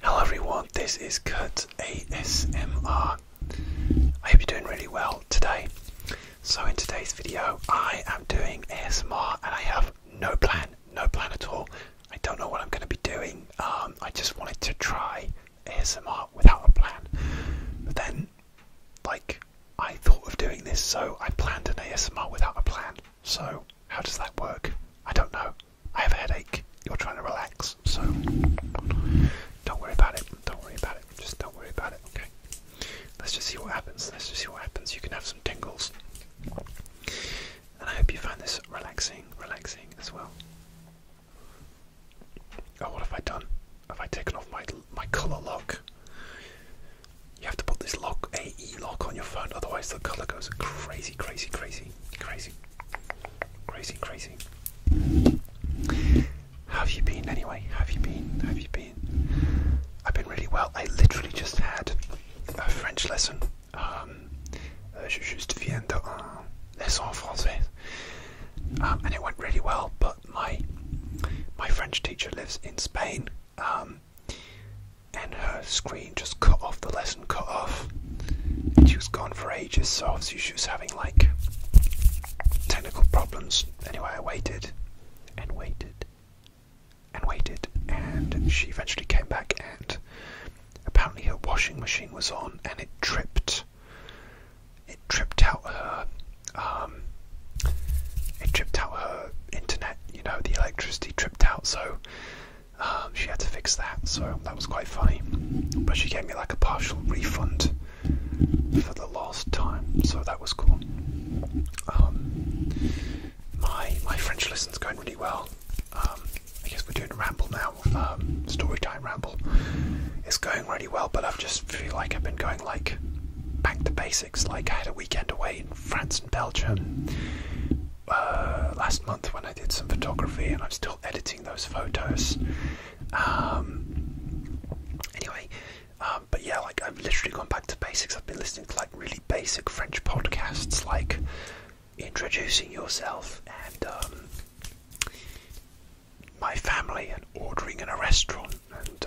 Hello everyone, this is Kurt ASMR. I hope you're doing really well today. So in today's video, I am doing ASMR and I have no plan, no plan at all. I don't know what I'm going to be doing. Um, I just wanted to try ASMR without a plan. But then, like, I thought of doing this, so I planned an ASMR without a plan. So, how does that work? I don't know. I have a headache. You're trying to relax, so don't worry about it. Don't worry about it. Just don't worry about it, okay? Let's just see what happens. Let's just see what happens. You can have some tingles. And I hope you find this relaxing, relaxing as well. Oh, what have I done? Have I taken off my my color lock? You have to put this lock, AE lock, on your phone, otherwise the color goes crazy, crazy, crazy crazy, crazy, crazy, How have you been anyway? How have you been? have you been? I've been really well. I literally just had a French lesson. Um, uh, je juste viens d'un uh, lesson français. Um, and it went really well, but my my French teacher lives in Spain, um, and her screen just cut off, the lesson cut off. she was gone for ages, so obviously she was having like technical problems. Anyway, I waited and waited and waited, and she eventually came back. And apparently, her washing machine was on, and it tripped. It tripped out her. Um, it tripped out her internet. You know, the electricity tripped out, so um, she had to fix that, so that was quite funny. But she gave me like a partial refund for the last time, so that was cool. Um, my my French lesson's going really well. Um, I guess we're doing a ramble now, um, story time ramble. It's going really well, but i just feel like I've been going like back to basics. Like I had a weekend away in France and Belgium. Uh, last month when I did some photography, and I'm still editing those photos. Um, anyway, um, but yeah, like I've literally gone back to basics. I've been listening to like really basic French podcasts, like introducing yourself and um, my family, and ordering in a restaurant, and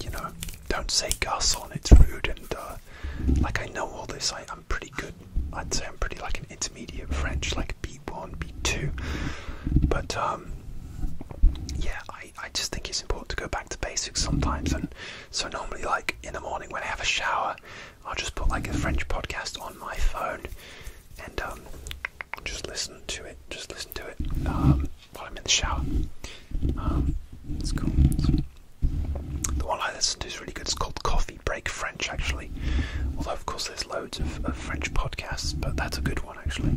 you know, don't say garçon, it's rude, and uh, like I know all this. I, am pretty good. I'd say I'm pretty like an intermediate French, like B1, B2. But um, yeah, I, I just think it's important to go back to basics sometimes. And so normally, like in the morning when I have a shower, I'll just put like a French podcast on my phone and um, just listen to it. Just listen to it um, while I'm in the shower. Um, it's cool. The one I listen to is really good. It's called Coffee Break French, actually. Although, of course, there's loads of, French podcasts, but that's a good one, actually.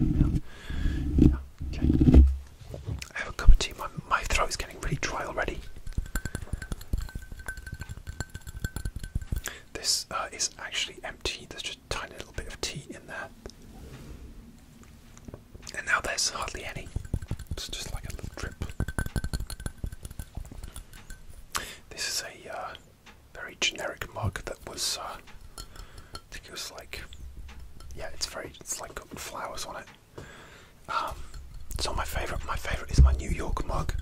I have a cup of tea. My, throat is getting really dry already. This uh, is actually empty. There's just a tiny little bit of tea in there. And now there's hardly any. It's just like a little drip. This is a uh, very generic mug that was, uh, I think it was like, yeah, it's very, it's like got flowers on it. Um, so my favorite, my favorite is my New York mug.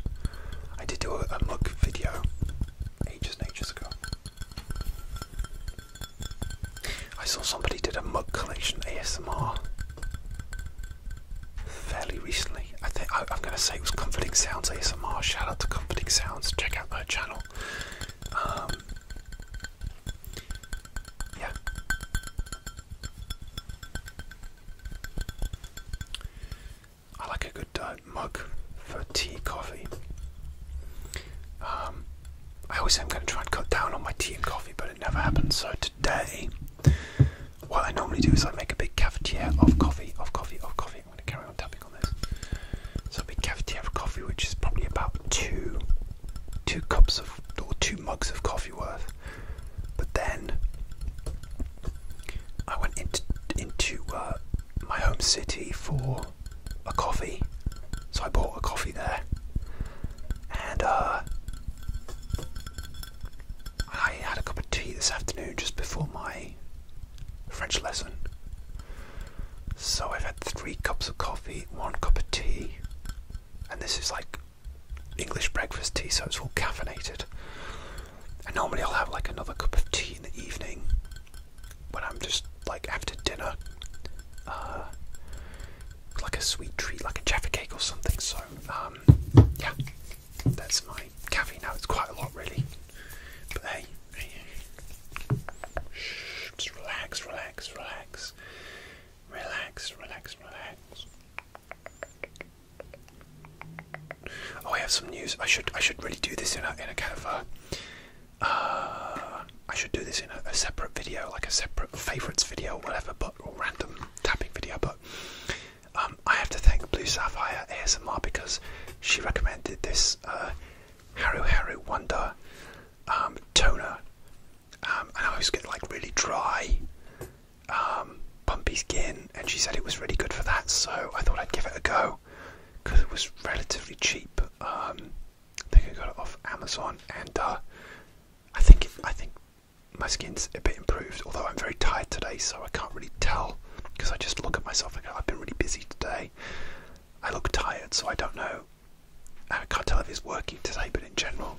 I did do a mug video ages and ages ago. I saw somebody did a mug collection ASMR fairly recently. I think I, am going to say it was Comforting Sounds ASMR. Shout out to Comforting Sounds. Check out her channel. Um, yeah. I like a good uh, mug for tea, coffee. Um, I always say I'm going to try and cut down on my tea and coffee, but it never happens. So today, what I normally do is I make a big cafetiere of coffee, of coffee, of coffee. I'm going to carry on tapping on this. So a big cafetiere of coffee, which is probably about two, two cups of or two mugs of coffee worth. But then I went into into uh, my home city for a coffee, so I bought a coffee there and uh, I had a cup of tea this afternoon just before my French lesson. So I've had three cups of coffee, one cup of tea, and this is like English breakfast tea, so it's all caffeinated. And normally I'll have like another cup of tea in the evening when I'm just like after dinner. Uh, like a sweet treat, like a jaffa cake or something. So um, yeah, that's my caffeine now. It's quite a lot really, but hey, hey, Shh, relax, relax, relax, relax, relax, relax. Oh, I have some news. I should I should really do this in a in a kind of uh, I should do this in a, separate video, like a separate favorites video, or whatever, but random tapping video. But um, I have to thank Blue Sapphire ASMR because she recommended this uh, Haru Haru Wonder um, toner, um, and I was getting like really dry, um, bumpy skin, and she said it was really good for that. So I thought I'd give it a go because it was relatively cheap. I think I got it off Amazon, and uh, I think I think my skin's a bit improved. Although I'm very tired today, so I can't really tell because I just look at myself and I've been really busy today. I look tired, so I don't know. I can't tell if it's working today, but in general,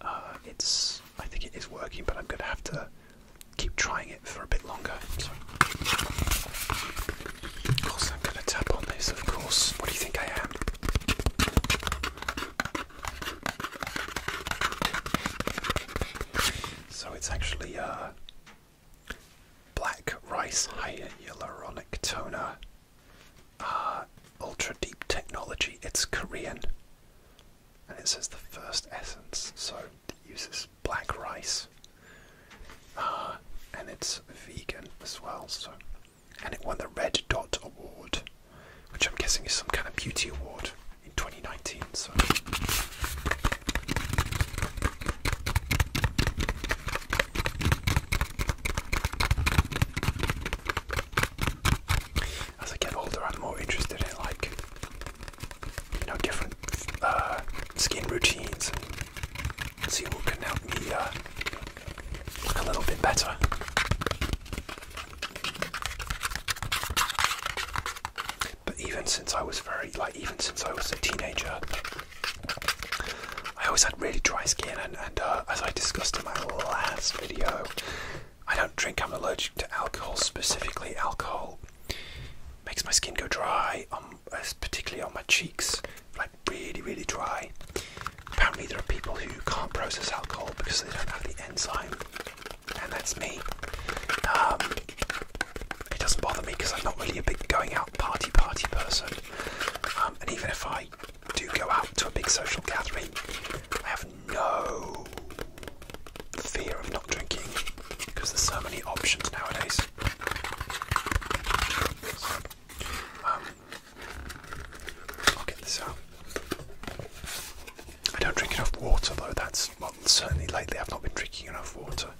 uh, it's. I think it is working, but I'm going to have to keep trying it for a bit longer. Of course, I'm going to tap on this, of course. What do you think I am? So it's actually a black rice hyaluronic toner, uh, ultra deep technology. It's Korean, and it says the first essence. So it uses black rice, uh, and it's vegan as well. So and it won the Red Dot Award, which I'm guessing is some kind of beauty award in 2019. So. As I get older, I'm more interested in like you know different uh, skin routines see who can help me uh, look a little bit better. But even since I was very, like, even since I was a teenager, I always had really dry skin, and, uh, as I discussed in my last video, I don't drink, I'm allergic to alcohol, specifically alcohol. Makes my skin go dry particularly on my cheeks, like really, really dry. Apparently, there are people who can't process alcohol because they don't have the enzyme, and that's me. Um, it doesn't bother me because I'm not really a big going out party party person, um, and even if I do go out to a big social gathering, I have no fear of not drinking because there's so many options nowadays. Um, i don't drink enough water though. That's certainly lately I've not been drinking enough water.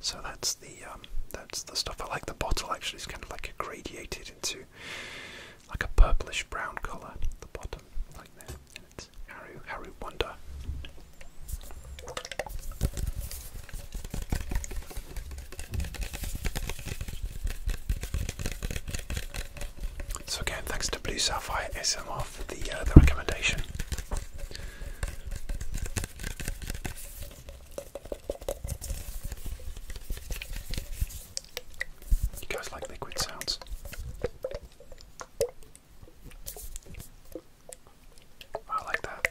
So that's the um, that's the stuff. I like the bottle actually. is kind of like a gradated into like a purplish brown color at the bottom, like that. And it's Harry Harry Wonder. So again, thanks to Blue Sapphire SMR for the uh, the recommendation. You guys like liquid sounds? I like that.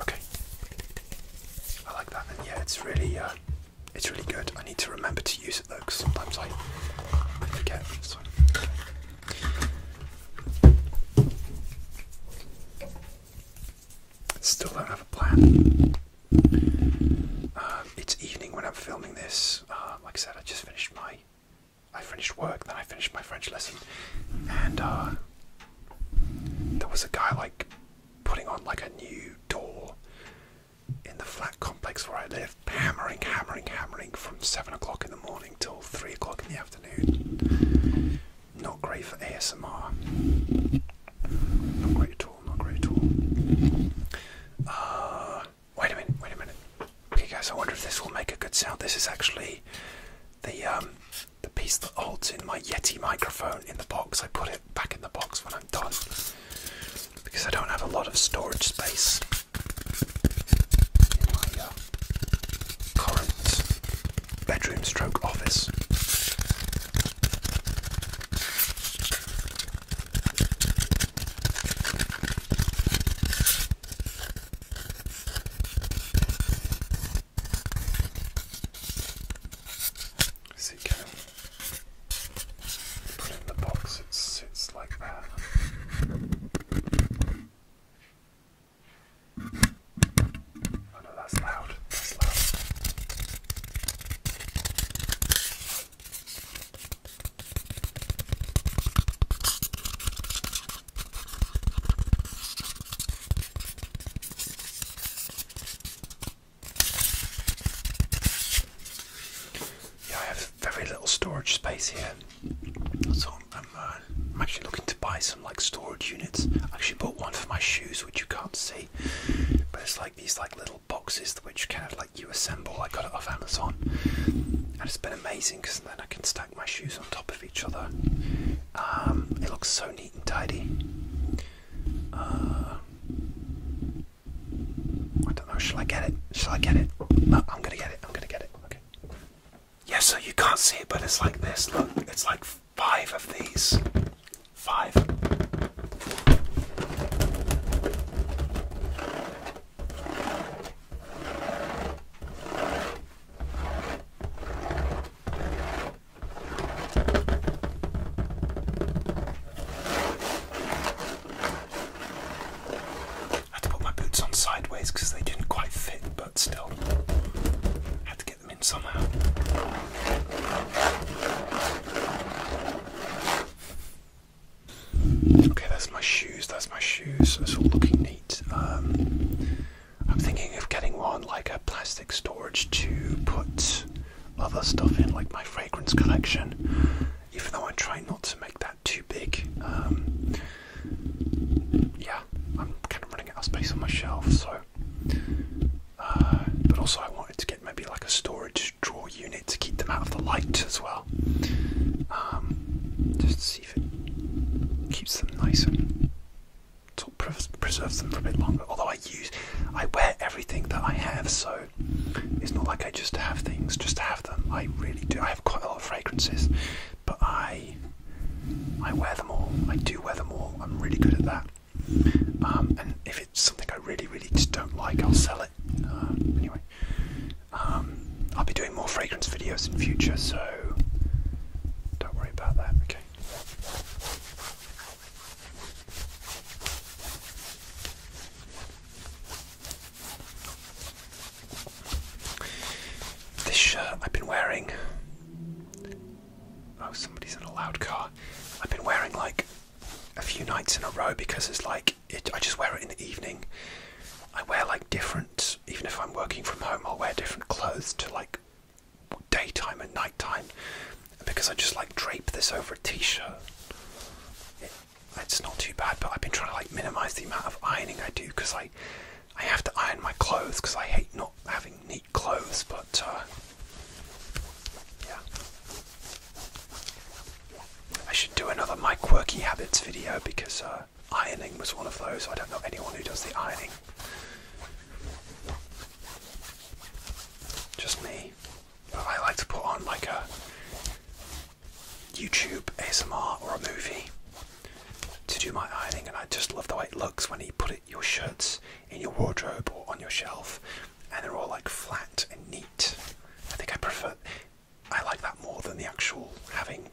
Okay. I like that and yeah it's really uh, it's really good. I need to remember to use it though because sometimes I, forget. Still have a plan. Um, it's evening when I'm filming this. Uh, like I said, I just finished my, I finished work, then I finished my French lesson, and uh, there was a guy like putting on like a new door in the flat complex where I live, hammering, hammering, hammering from seven o'clock in the morning till three o'clock in the afternoon. Not great for ASMR. Not uh, wait a minute, wait a minute. Okay guys, I wonder if this will make a good sound. This is actually the um, the piece that holds in my Yeti microphone in the box. I put it back in the box when I'm done because I don't have a lot of storage space uh, current bedroom stroke office. See, can put it in the box, it sits like that that's loud. That's loud. Yeah, I have very little storage space here, so uh, I'm actually looking to buy some like storage units. I actually bought one for my shoes, which you can't see, but it's like these like little boxes which kind of like you assemble. I got it off Amazon, and it's been amazing because then I can stack my shoes on top of each other. Um, it looks so neat and tidy. Uh, I don't know. Shall I get it? Shall I get it? No, I'm gonna get it. I'm gonna get it. Okay. Yeah, so you can't see it, but it's like this. Look, it's like five of these. Five. I had to put my boots on sideways because they didn't quite fit, but still. had to get get them in somehow. Okay, that's my shoes, that's my shoes, it's all looking neat. Um, I'm thinking of getting one like a plastic storage to put other stuff in, like my fragrance collection, even though I try not to make that too big. Um, yeah, I'm kind of running out of space on my shelf, so uh, but also, I wanted to get maybe like a storage drawer unit to keep them out of the light as well. Um, just to see if it keeps them nice and sort preserves them for a bit longer. Although I use, I wear everything that I have, so it's not like I just have things just have them. I really do. I have quite a lot of fragrances, but I I wear them all. I do wear them all. I'm really good at that. Um, and if it's something I really, really just don't like, I'll sell it. Uh, anyway, um, I'll be doing more fragrance videos in future, so don't worry about that. Okay. This shirt I've been wearing Oh, somebody's in a loud car. I've been wearing like a few nights in a row because it's like I just wear it in the evening. I wear like different, even if I'm working from home, I'll wear different clothes to like daytime and nighttime. because I just like drape this over a t-shirt, it's not too bad. But I've been trying to like minimize the amount of ironing I do because I I have to iron my clothes because I hate not having clothes, but uh, yeah. I should do another My Quirky Habits video because uh, ironing was one of those. I don't know anyone who does the ironing. Just me. But I like to put on like a YouTube ASMR or a movie to do my ironing, and I just love the way it looks when you put it your shirts in your wardrobe or on your shelf, and they're all like flat and neat. I think I prefer, I like that more than the actual having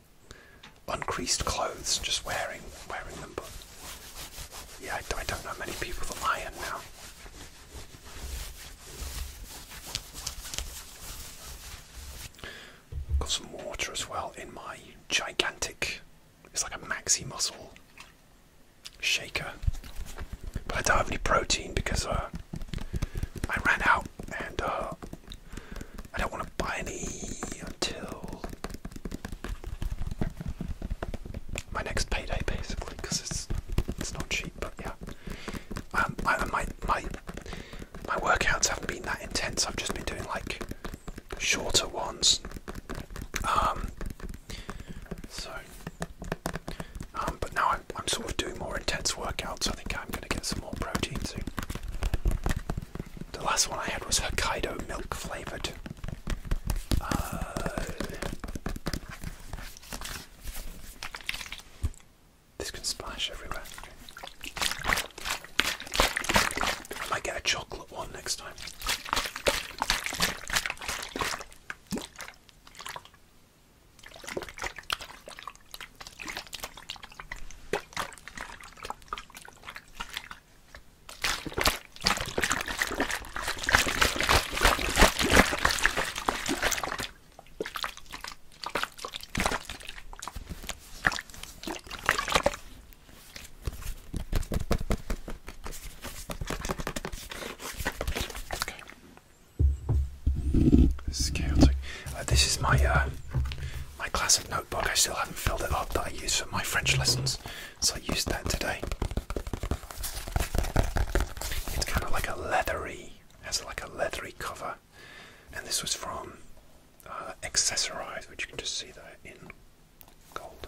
uncreased clothes, just wearing wearing them. But yeah, I, don't know many people that iron now. Got some water as well in my gigantic it's like a maxi muscle shaker. But I don't have any protein because uh, I ran out and uh, I don't want to buy any until my next payday, basically, because it's it's not cheap. But yeah, um, my my my workouts haven't been that intense. I've just been doing like shorter ones. Um, so, um, but now I'm, I'm sort of doing more intense workouts. I think I'm going to get some more protein soon. The last one I had was Hokkaido milk flavored. Uh, this can splash everywhere. I might get a chocolate one next time. Okay. This is uh, my uh, my classic notebook. I still haven't filled it up that I use for my French lessons, so I used that today. It's kind of like a leathery, has like a leathery cover, and this was from uh, Accessorised, which you can just see there in gold.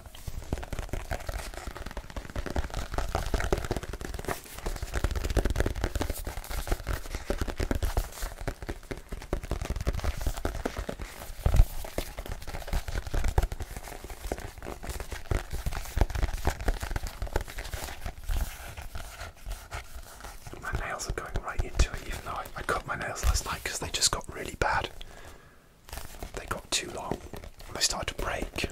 My nails are going right into it, even though I, cut my nails last night because they just got really bad. They got too long and they started to break.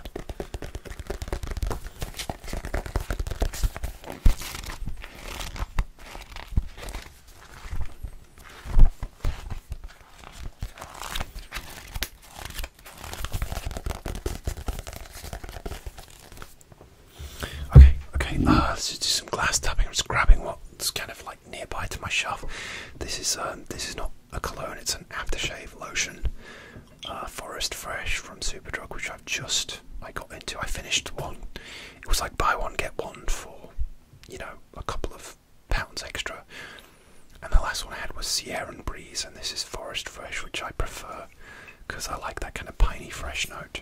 Okay, okay, uh, let's just do some glass tapping. I'm just grabbing kind of like nearby to my shelf. This is um, this is not a cologne; it's an aftershave lotion, uh, Forest Fresh from Superdrug, which I've just I got into. I finished one. It was like buy one get one for, you know, a couple of pounds extra. And the last one I had was Sierra and Breeze, and this is Forest Fresh, which I prefer because I like that kind of piney fresh note.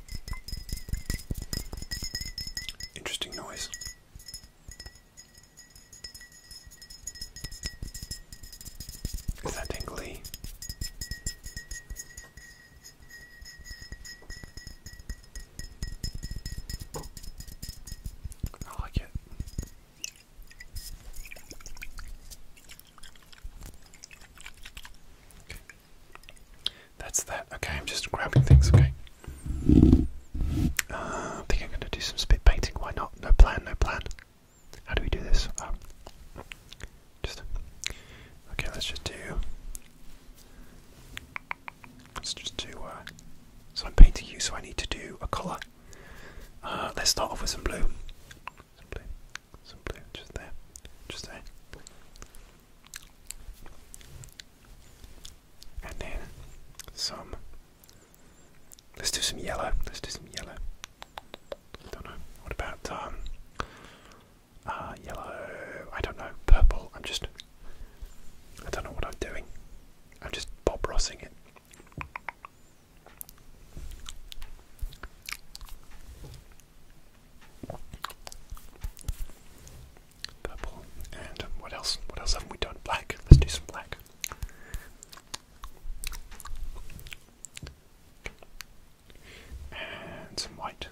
Interesting noise. Is that tingly? I like it. That's that. Okay, I'm just grabbing things, okay? Uh, I think I'm going to do some spit painting. Why not? No plan, no plan. How do we do this? Um, just. Okay, let's just do. Let's just do. Uh, so I'm painting you, so I need to do a colour. Uh, let's start off with Some blue. Some just there. Just there. And then some. Let's do some yellow. Let's do some yellow. I Don't know. What about um uh yellow I don't know, purple. I'm just I don't know what I'm doing. I'm just Bob Rossing it. Purple. And what else? What else haven't we done? Black. Let's do some black. And some white.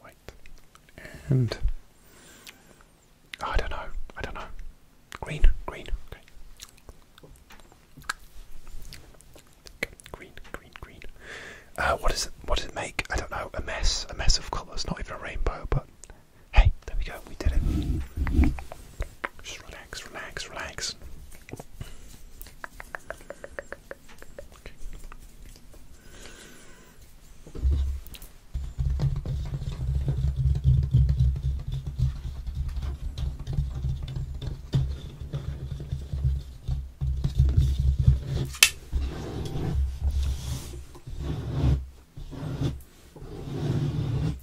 White. And I don't know. I don't know. Green, green, okay. green, green, green. Uh, what does it? What does it make? I don't know. A mess, a mess of colours. Not even a rainbow, but hey, there we go. We did it. Just relax, relax, relax.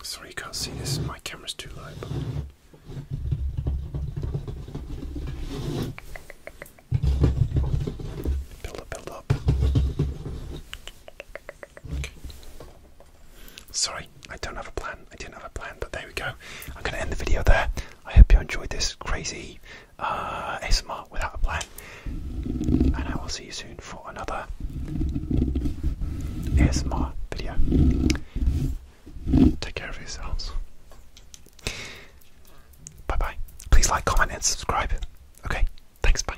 Sorry, you can't see this. My camera's too low. Build up, build up. Sorry, I don't have a plan. I didn't have a plan, but there we go. I'm going to end the video there. I hope you enjoyed this crazy uh, ASMR without a plan. And I will see you soon for another ASMR video. Take care of yourselves. Bye bye. Please like, comment, and subscribe. Okay, thanks. Bye.